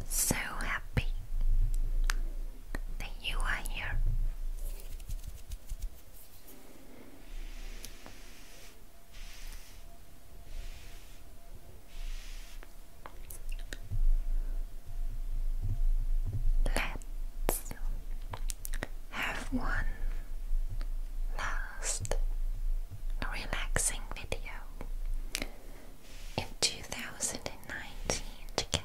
I'm so happy that you are here. Let's have one last relaxing video in 2019 together.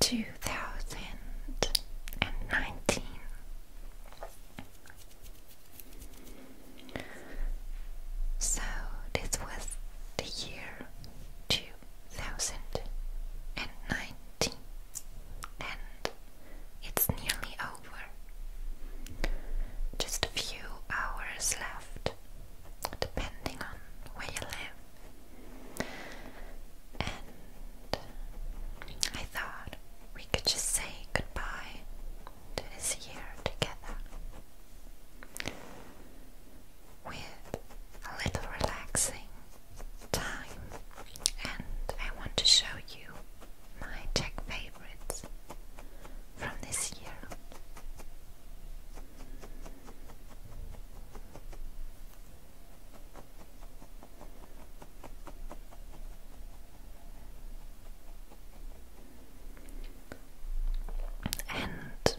2019 so this was the year 2019 and it's nearly over just a few hours left depending on where you live and I thought we could just say goodbye this year together with a little relaxing time. And I want to show you my tech favorites from this year. And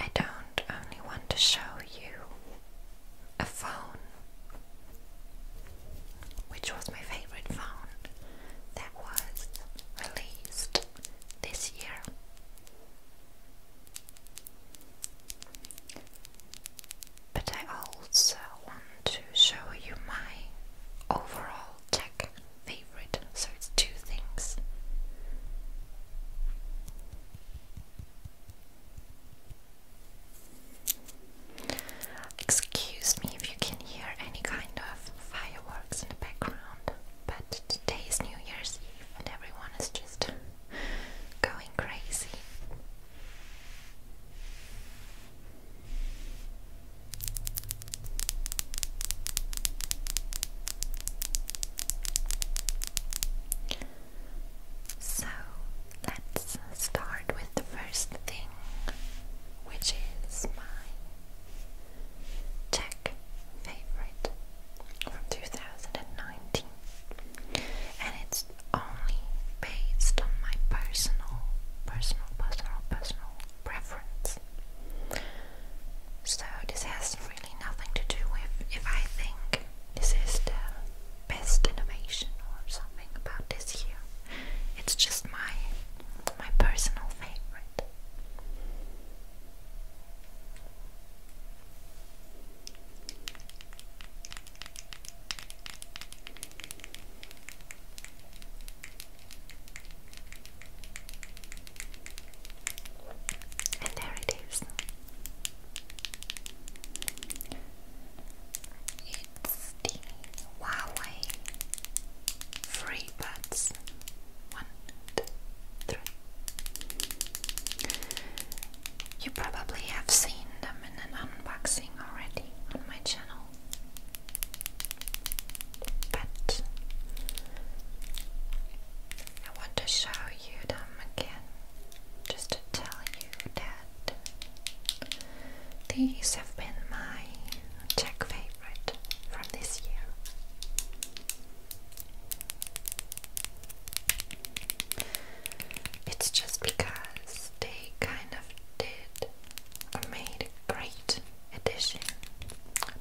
I don't only want to show you a phone, which was my favorite phone that was released this year. But I also want to show you my overall tech favorite, so it's two things. Excuse me if you can hear any kind of fireworks fireworks in the background. But today is New Year's Eve and everyone is just going crazy. So let's start with the first thing, which is my Tech favorite from 2019, and it's only based on my personal, personal, personal, personal preference. So this has really nothing to do with if I think this is the best innovation or something about this year. It's just my my personal favorite. And there it is. It's the Huawei Free Buds. One, two, three. You probably have seen them in an unboxing already on my channel, but I want to show you them again just to tell you that these have been my Czech favorite from this year. It's just because they kind of did made great addition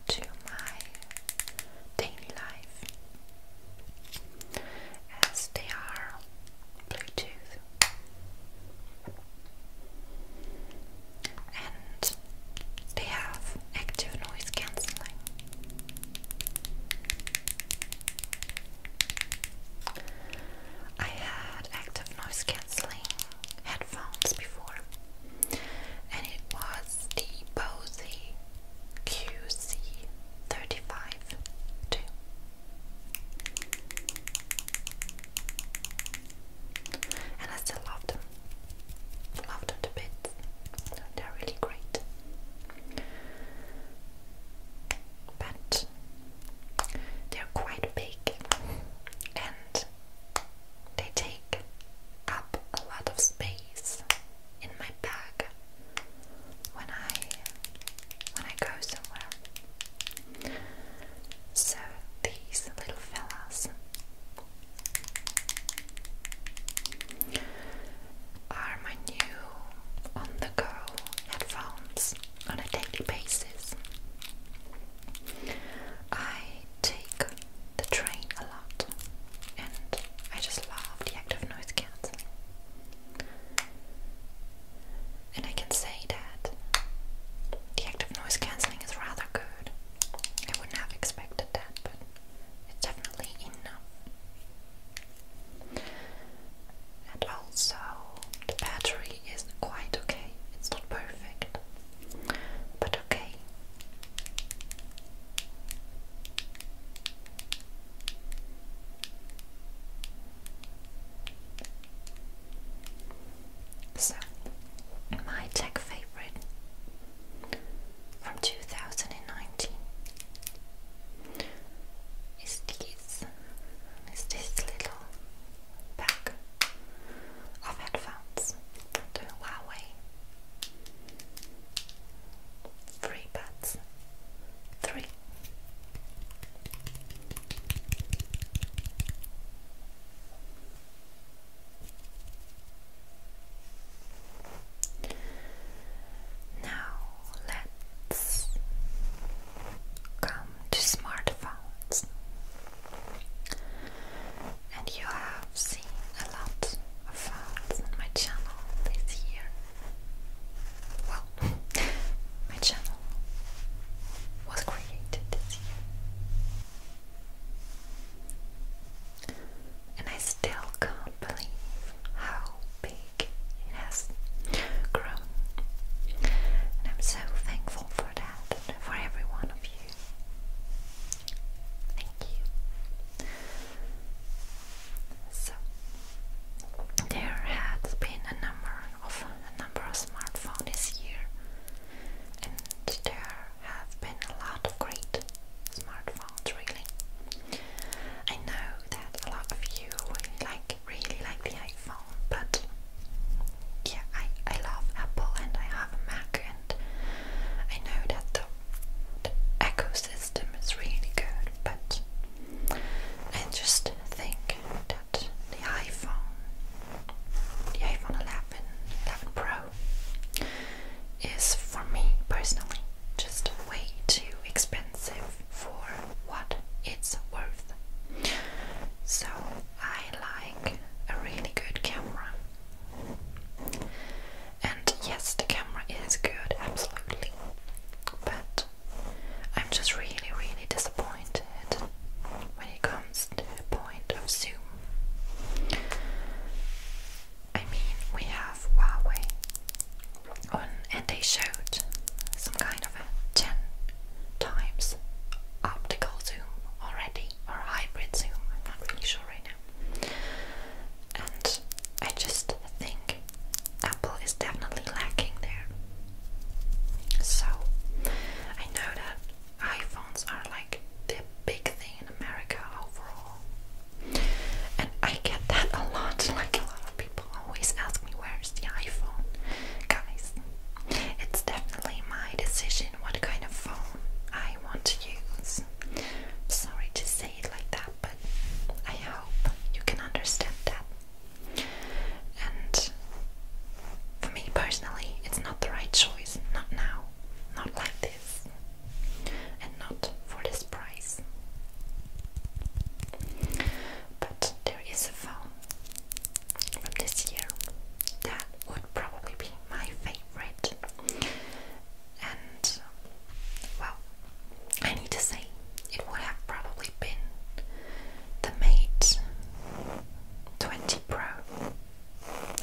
to my daily life as they are Bluetooth. And they have active noise cancelling. I had active noise cancelling headphones before, and it was the Bose QC35-2. And I still love them after the bits. They're really great. But they're quite big and they take up a lot of space in my bag when I when I go somewhere. So these little fellas are my new on-the-go headphones on a daily basis. I take the train a lot and I just love the act of noise cancelling. And I can say that the act of noise cancelling is rather good. I would not have expected that, but it's definitely enough. And also, the battery is quite okay. It's not perfect, but okay. So, my tech favorite from 2019 is this, is this little pack of headphones, Huawei Free 3 now let's come to smartphones. And you have seen a lot of phones on my channel this year. Well, my channel was created and I still can't believe how big it has grown. And I'm so thankful for that for every one of you. Thank you. So there has been a number of a number of smartphones here, and there have been a lot of great smartphones really. I know that a lot of you like really like the iPhone, but yeah, I, I love Apple and I have a Mac and I know that the, ecosystem is really good, but I just think that the iPhone, the iPhone 11, Pro is for me personally just way too expensive for what it's worth. So I like a really good camera. And yes, the camera is good, absolutely. But I'm just really, really disappointed when it comes to the point of zoom. I mean, we have Huawei and they showed some kind of a 10 times optical zoom already, or hybrid zoom, I'm not really sure right now. And I just think Apple is definitely lacking there. So I know that iPhones are like the big thing America overall. And I get that a lot, like a lot of people always ask me where's the iPhone. Guys, it's definitely my decision what kind of phone I want to use. Sorry to say it like that, but I hope you can understand that. And for me personally, it's not the right choice, not now not like this. And not for this price. But there is a phone from this year that would probably be my favorite. And well, I need to say it would have probably been the Mate 20 Pro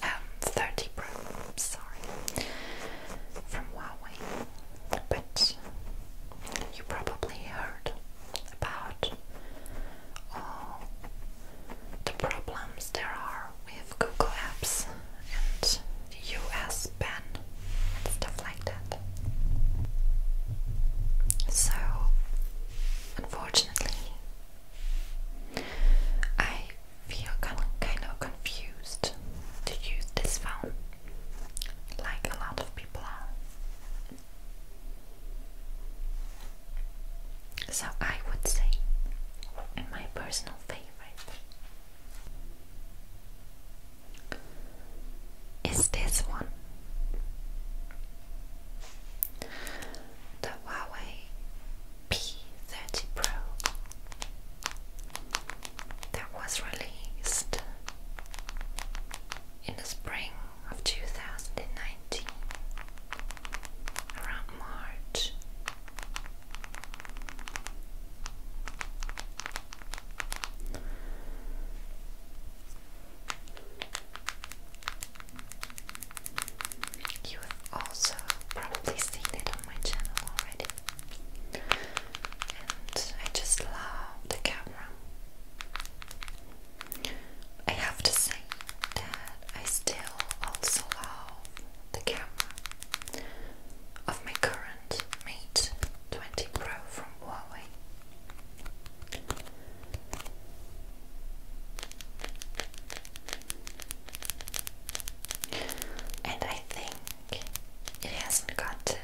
um, 30 Pro, sorry, from Huawei. But you probably heard about all the problems there are with Google Apps and the US ban and stuff like that. So, unfortunately, I feel kind of confused to use this phone, like a lot of people are. So I would say my personal favorite is this one. The Huawei P30 Pro that was released in the spring of 2019 around March also probably seen it on my channel already. And I just love the camera. I have to say that I still also love the camera of my current Mate 20 Pro from Huawei. And I think it hasn't gotten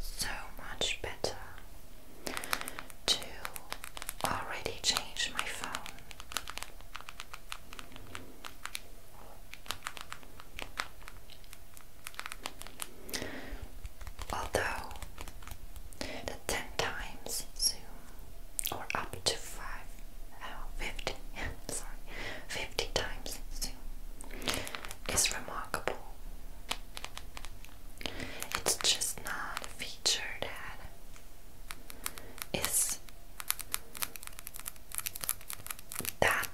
so much better to already change my phone. Although the 10 times zoom or up to 5 oh, sorry, 50 times soon is remarkable. It's just not a feature that is that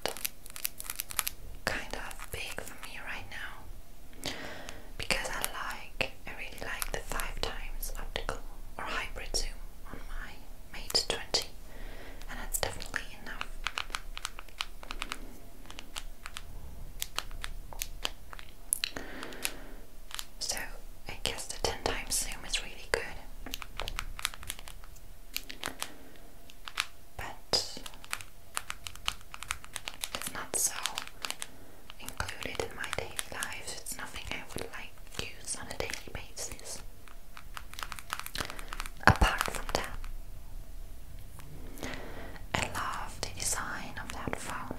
kind of big for me right now because I like, I really like the five times optical or hybrid zoom on my Mate 20 and that's definitely enough. So I guess the 10 times zoom is really good. But it's not so included in my daily life. It's nothing I would like use on a daily basis. Apart from that, I love the design of that phone.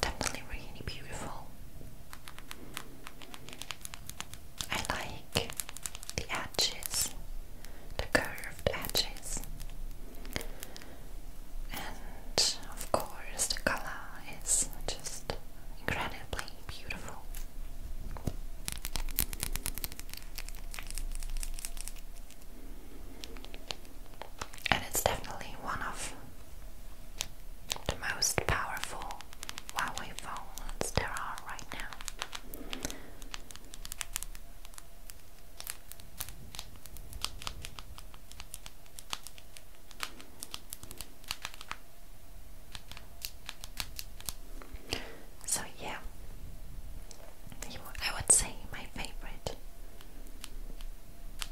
Definitely really beautiful. I like the edges, the curved edges, and of course the color is just incredibly beautiful. And it's definitely one of the most powerful Huawei phones there are right now. So yeah, I would say my favorite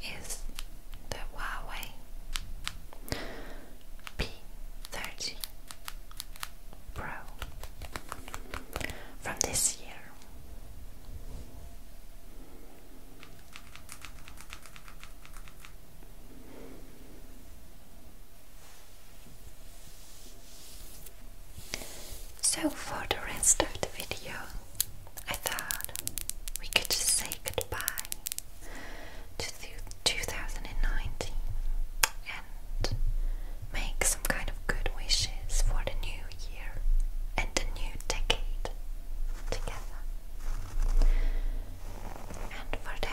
is the Huawei P30 Pro from this year. So for the rest of the video, I thought we could just say goodbye to 2019 and make some kind of good wishes for the new year and the new decade together and for that.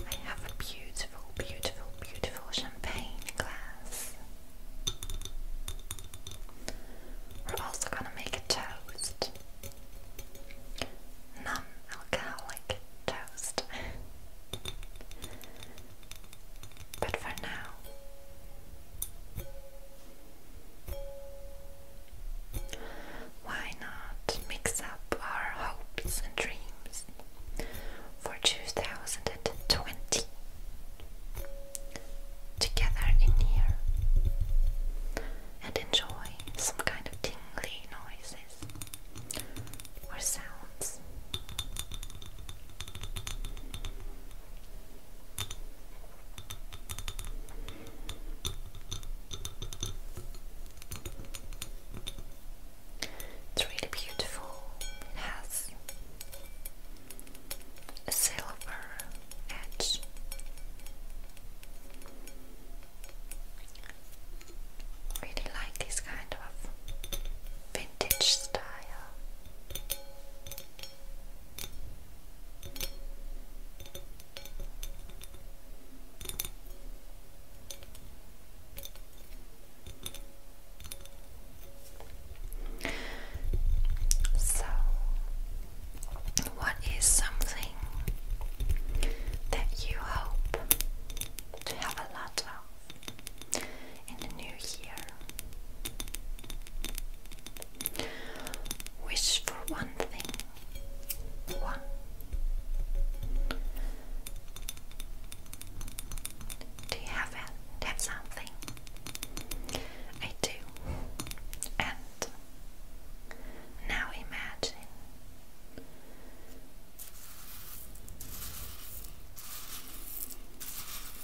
I have a beautiful, beautiful, beautiful champagne glass. We're also gonna make a toast non-alcoholic toast. but for now, why not mix up our hopes and dreams for 2020 together in here? and enjoy some kind of tingly noises or sounds. It's really beautiful. It has silver edge. Really like this kind of vintage style. So what is something that you hope to have a lot of in the new year? Wish for one thing. One. Do you have, a, have something? I do. And now imagine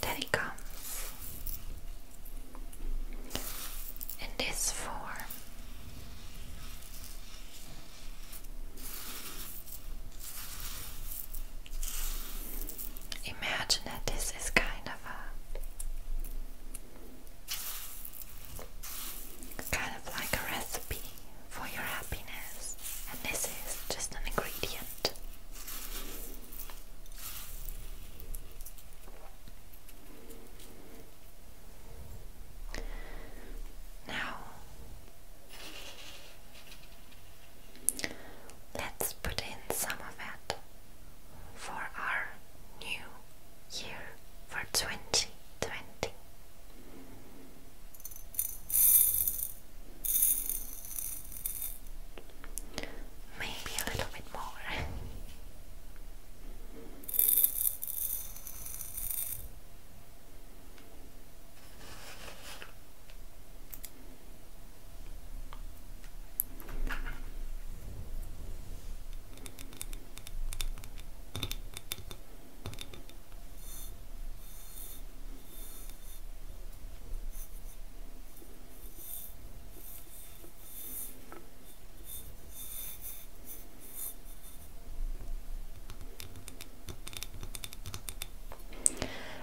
that he comes in this form. Imagine that this is kind of a kind of like a recipe for your happiness, and this is just an ingredient. Now, let's put in some of it for our new year for 2020. Maybe a little bit more.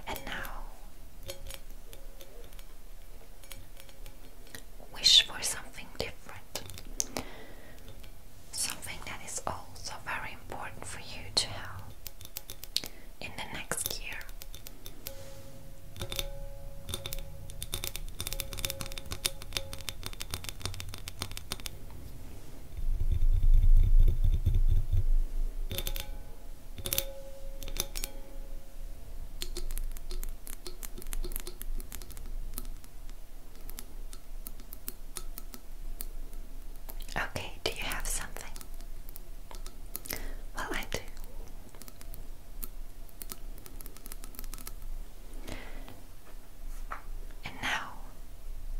And now, wish for something something that is also very important for you to have in the next year. Okay, do you have something? Well, I do. And now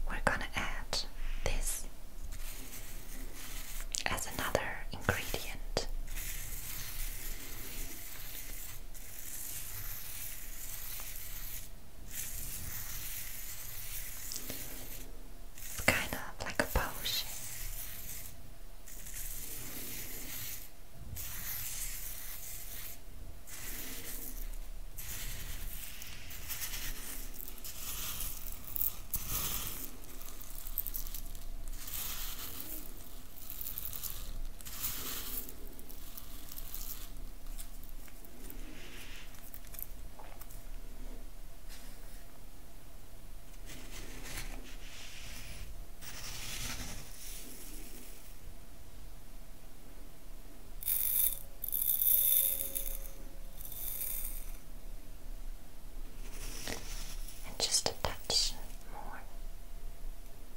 we're gonna add this as another ingredient. It's kind of like a potion. And just a touch more.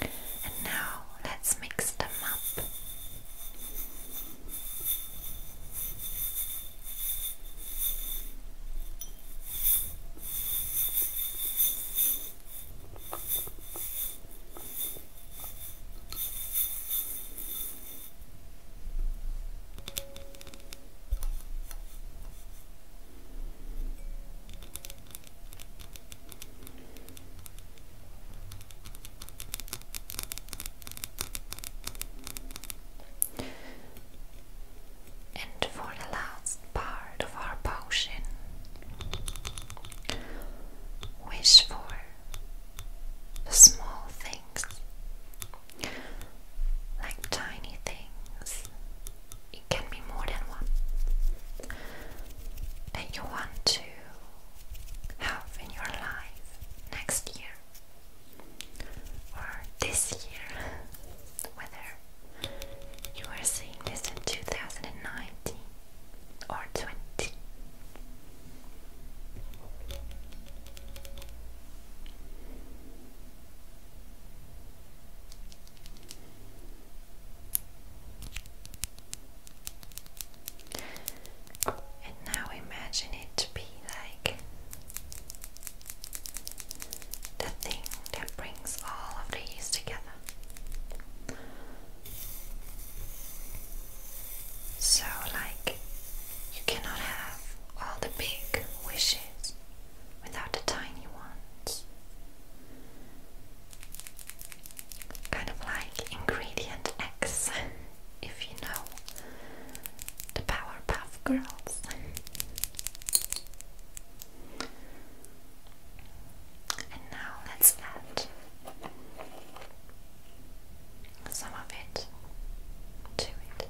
And now let's mix them up. And for the last part of our potion, wish for the small things, like tiny things it can be more than one, and you want to have in your life next year or this year, whether you are seeing this in 2019 or 20. And now imagine it to be like the thing that brings all of these together. So, like, you cannot have all the big wishes without the tiny ones kind of like ingredient X, if you know the Powerpuff Girls. And now let's add some of it to it.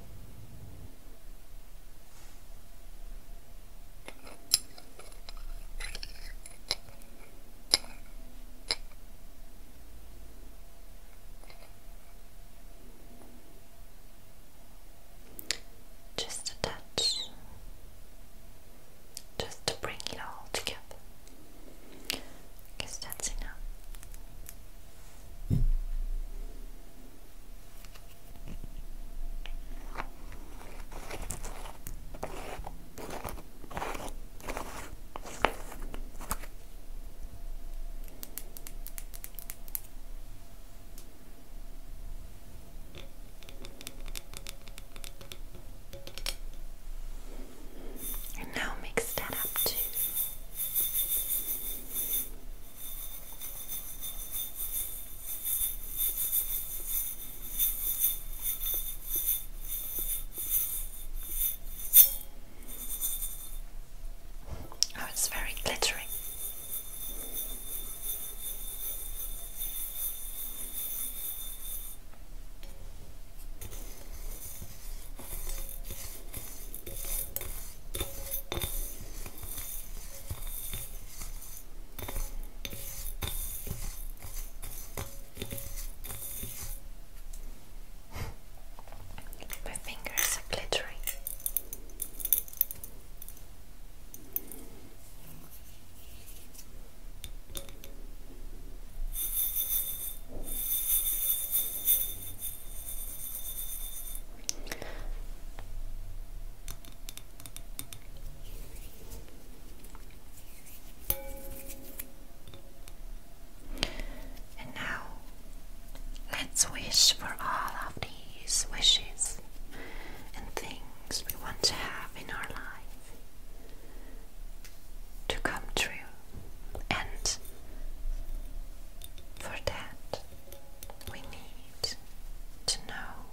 Just a touch, just to bring it all together. I guess enough. And now mix that up too. Oh, it's very glittering. My fingers are glittering. And now, let's wish for all of these wishes and things we want to have in our life to come true, and for that, we need to know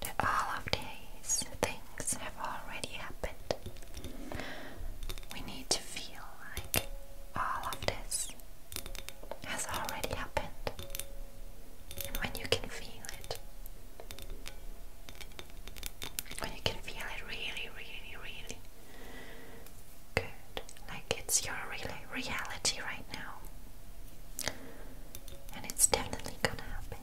that all of these things have already happened. We need to feel like all of this has already happened. when you can feel it, when you can feel it really, really, really good, like it's your really reality right now. And it's definitely gonna happen.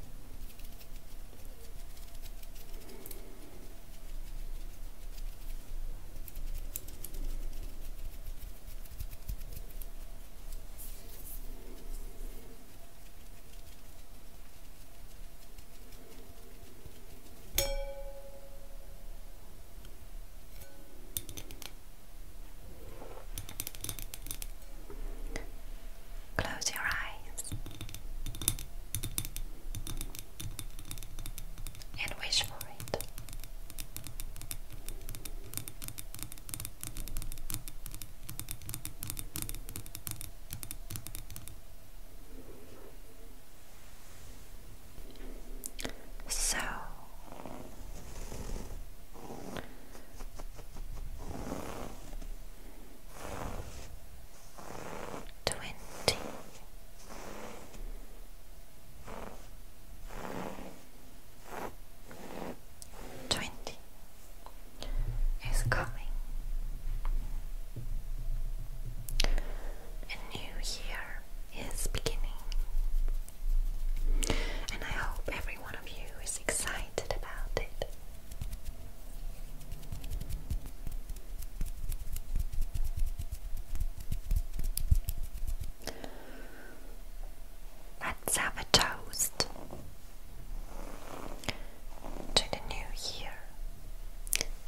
Close your eyes and wish for it. So twenty. Twenty is coming. A new year is beginning, and I hope everyone one of you is excited about it. Let's have a toast to the new year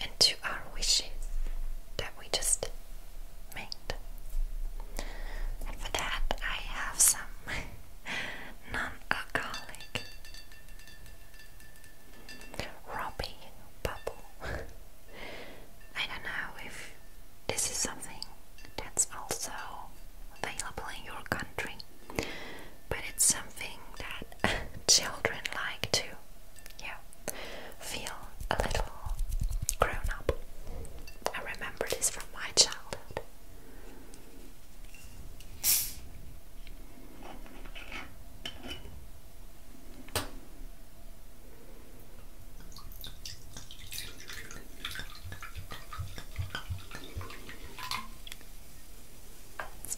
and to our wishes that we just made. for that, I have some non-alcoholic Robbie Bubble. I don't know if this is something that's also available in your country, but it's something that children like to yeah, feel a little grown up. I remember this from my childhood. It's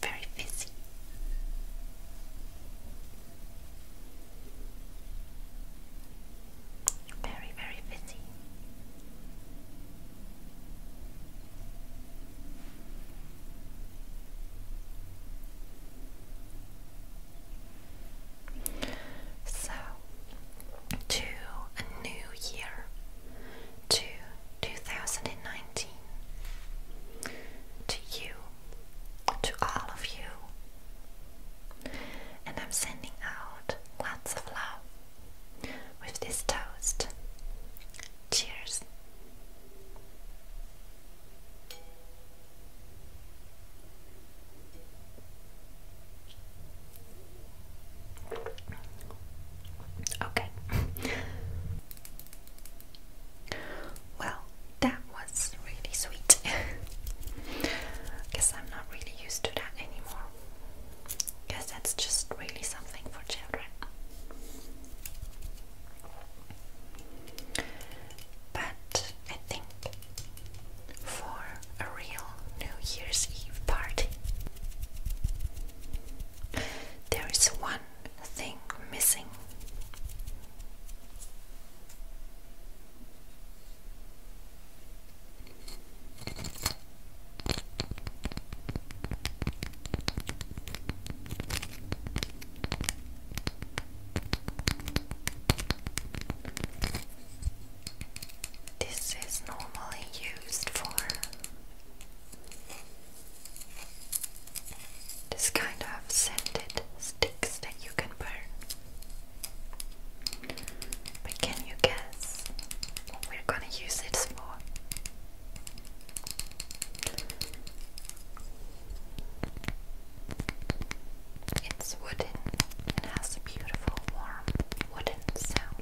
very fizzy. Very, very fizzy. So, to a new year, to 2019, to you, to all of you, and I'm sending out lots of love with this toast. Cheers. Okay. well, that was really sweet. Guess I'm not really used to that anymore because that's just really something for children. But I think for a real New Year's Eve party, there is one thing missing. This is normally used for this kind of scented sticks that you can burn. But can you guess what we're gonna use it for? It's wooden and has a beautiful warm wooden sound.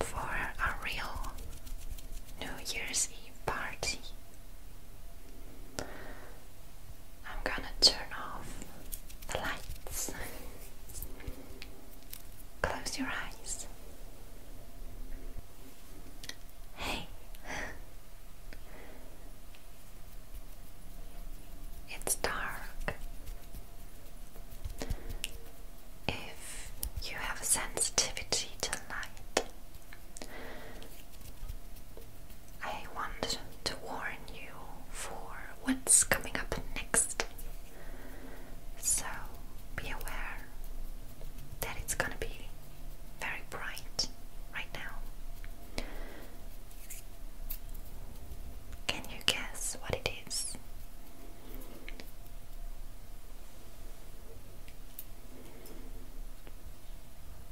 For a real New Year's Eve party, I'm gonna turn off the lights. Close your eyes. Hey, it's dark. If you have sensitivity to light, I want to warn you for what's coming up next. So be aware that it's gonna be very bright right now. Can you guess what it is?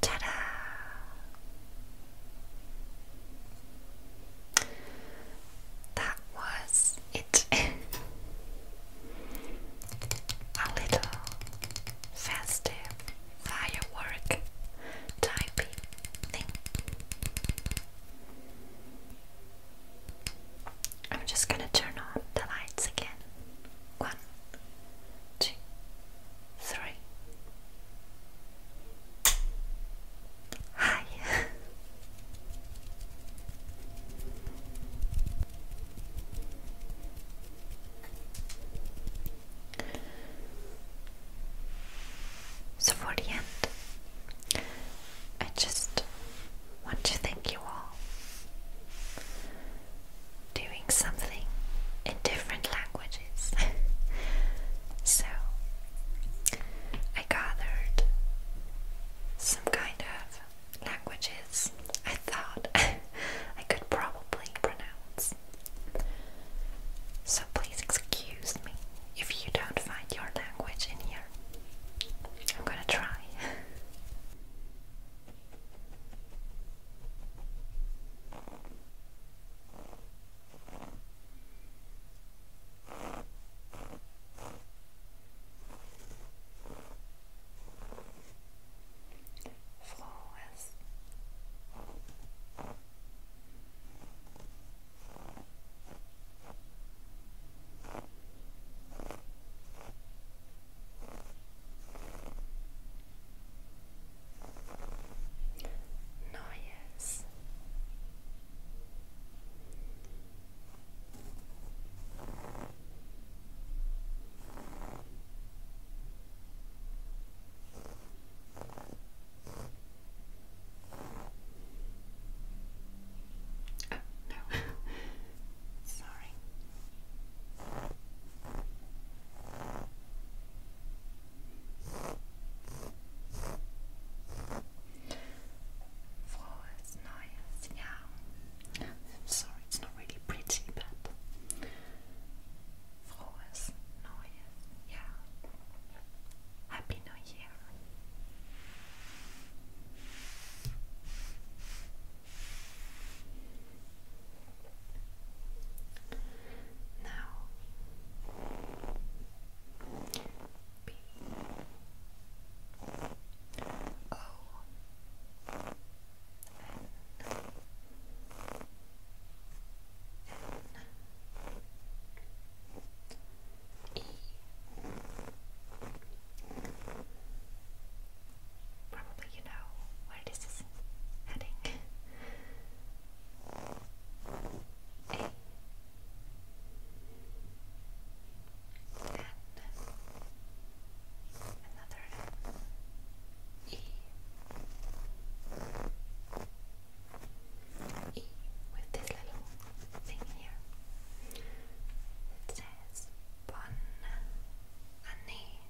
Ta-da! That was it. A little festive firework type I'm just gonna turn on the lights again. One, two, three. Hi. so for the end, I just want to thank you all. Doing something in different languages. so, I gathered some kind of languages I thought I could probably pronounce. So, please excuse me if you don't find your language in I'm gonna try. Flawless. Noise. Noise no. Oh, Sorry. Flowers, nice, yeah. Sorry, it's not really pretty, but flowers, nice, yeah. Happy New Year hair. Now, B O N N N Probably you know where this is heading. A N another N E E with this little here. It says Bon Année,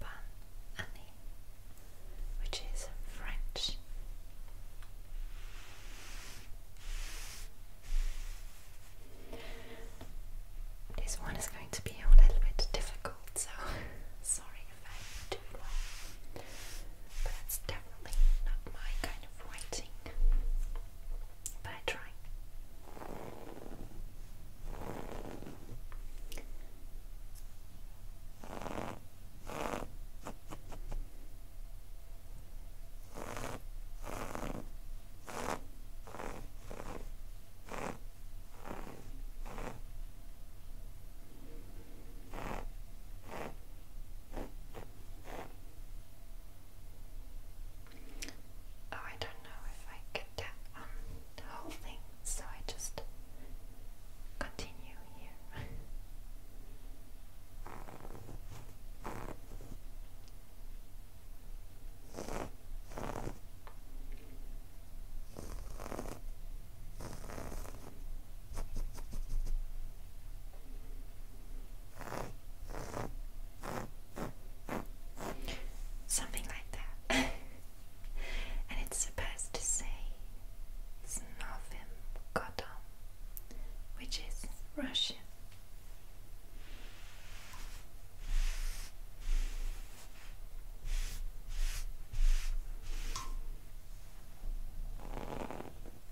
Bon Année, which is French. This one is going to be a little bit difficult, so sorry if I do it wrong but it's definitely not my kind of writing. But I try. Oh, I don't know if I get that um, the whole thing, so I just continue here. Something like that. and it's supposed to say Snovim Godom, which is Russian.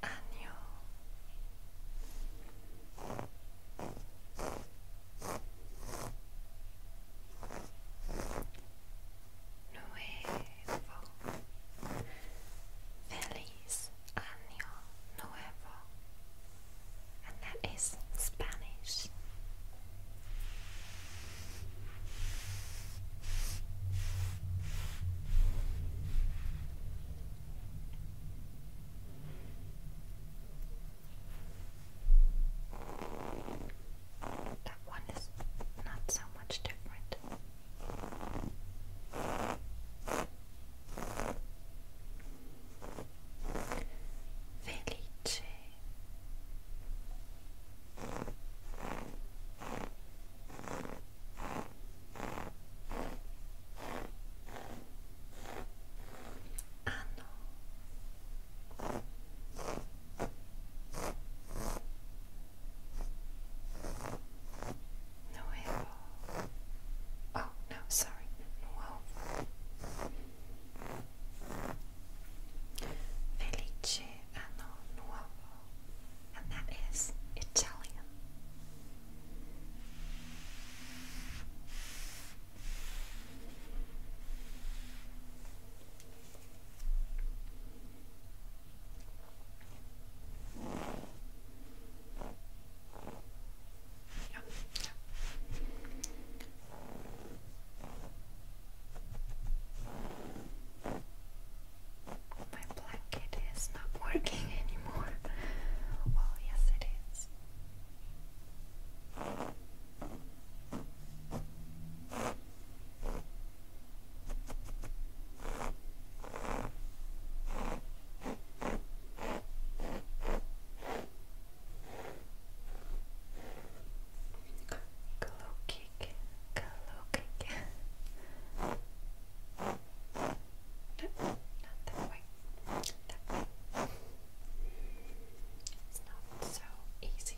안녕. Nuevo. Feliz año nuevo. And that is Spanish. That one is not so much different. Felice. あの Nuevo. Ah, oh, no, sorry. Nuevo. Felice anno ah, nuovo and that is Italian. Yeah, yeah. My blanket is not working anymore. Well, yes, it is. Cloaking not that way. It's not so easy.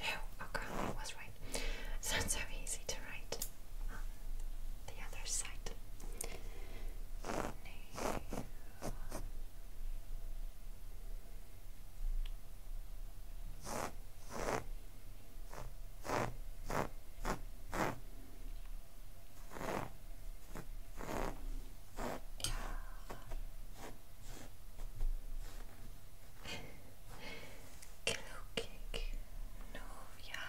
Oh, okay, I was right. It's not so easy to write the other side. Glückig, Novia.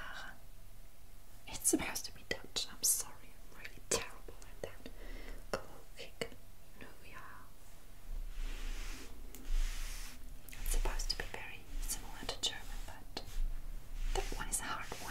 It's supposed to be Dutch. I'm sorry, I'm really terrible at that. Glückig, Novia. It's supposed to be very similar to German, but that one is a hard one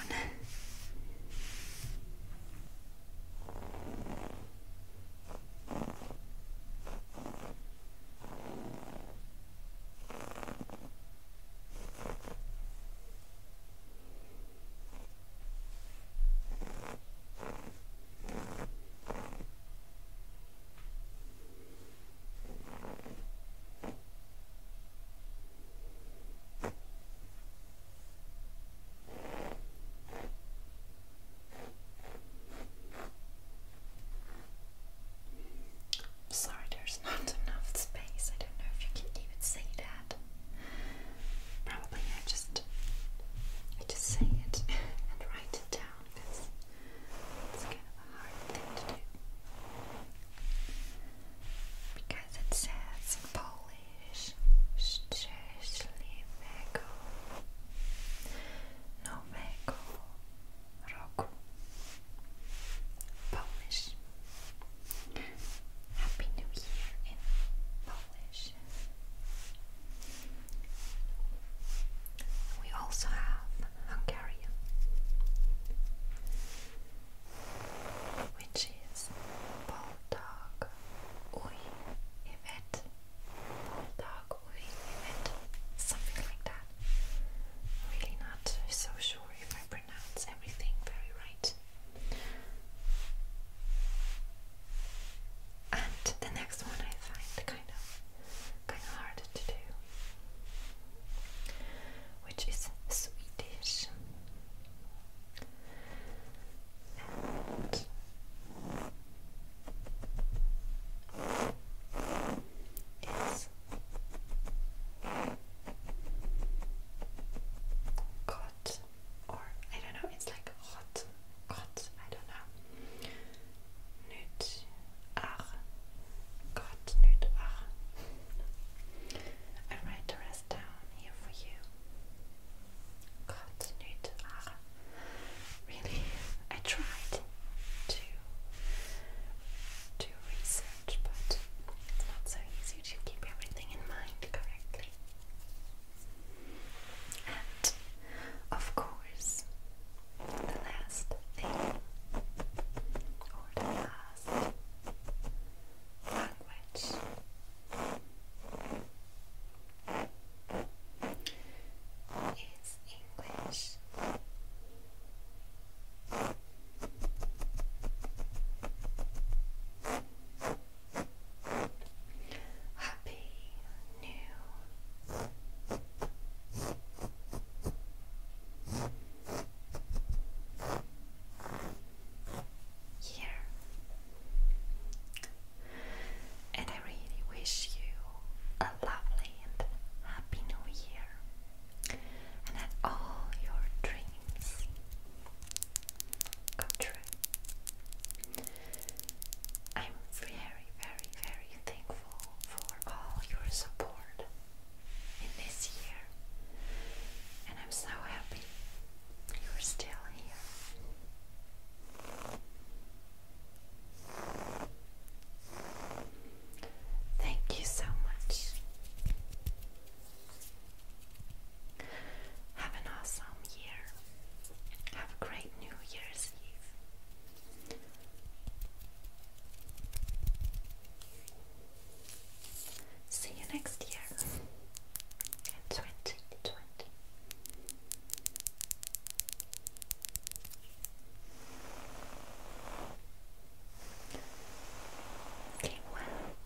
i sorry, there's not enough space. I don't know if you can even say that. Probably I just I just say it and write it down it's kind of a hard thing to do. Because it says Polish szczęśliwego nowego roku. Polish. Happy New Year in Polish. We also have Hungarian, which is Baldag Uy Evet, Baldag Uy Evet, something like that. Really not so sure if I pronounce everything very right. And the next one I find kind of kind of hard to do, which is Swedish. And it's or I don't know, it's like hot, hot, I don't know nyt ach. God, nyt ach. I write the rest down here for you. God, ach. Really, I tried to do research, but it's not so easy to keep everything in mind correctly. And of course, the last thing or the last language. Is English. Happy New here, and I really wish you a lovely and happy new year, and that all your dreams come true. I'm very, very, very thankful for all your support in this year, and I'm so happy you're still here. Thank you so much. Have an awesome year. Have a great New Year's Eve. See you next year in 2020. Okay, well.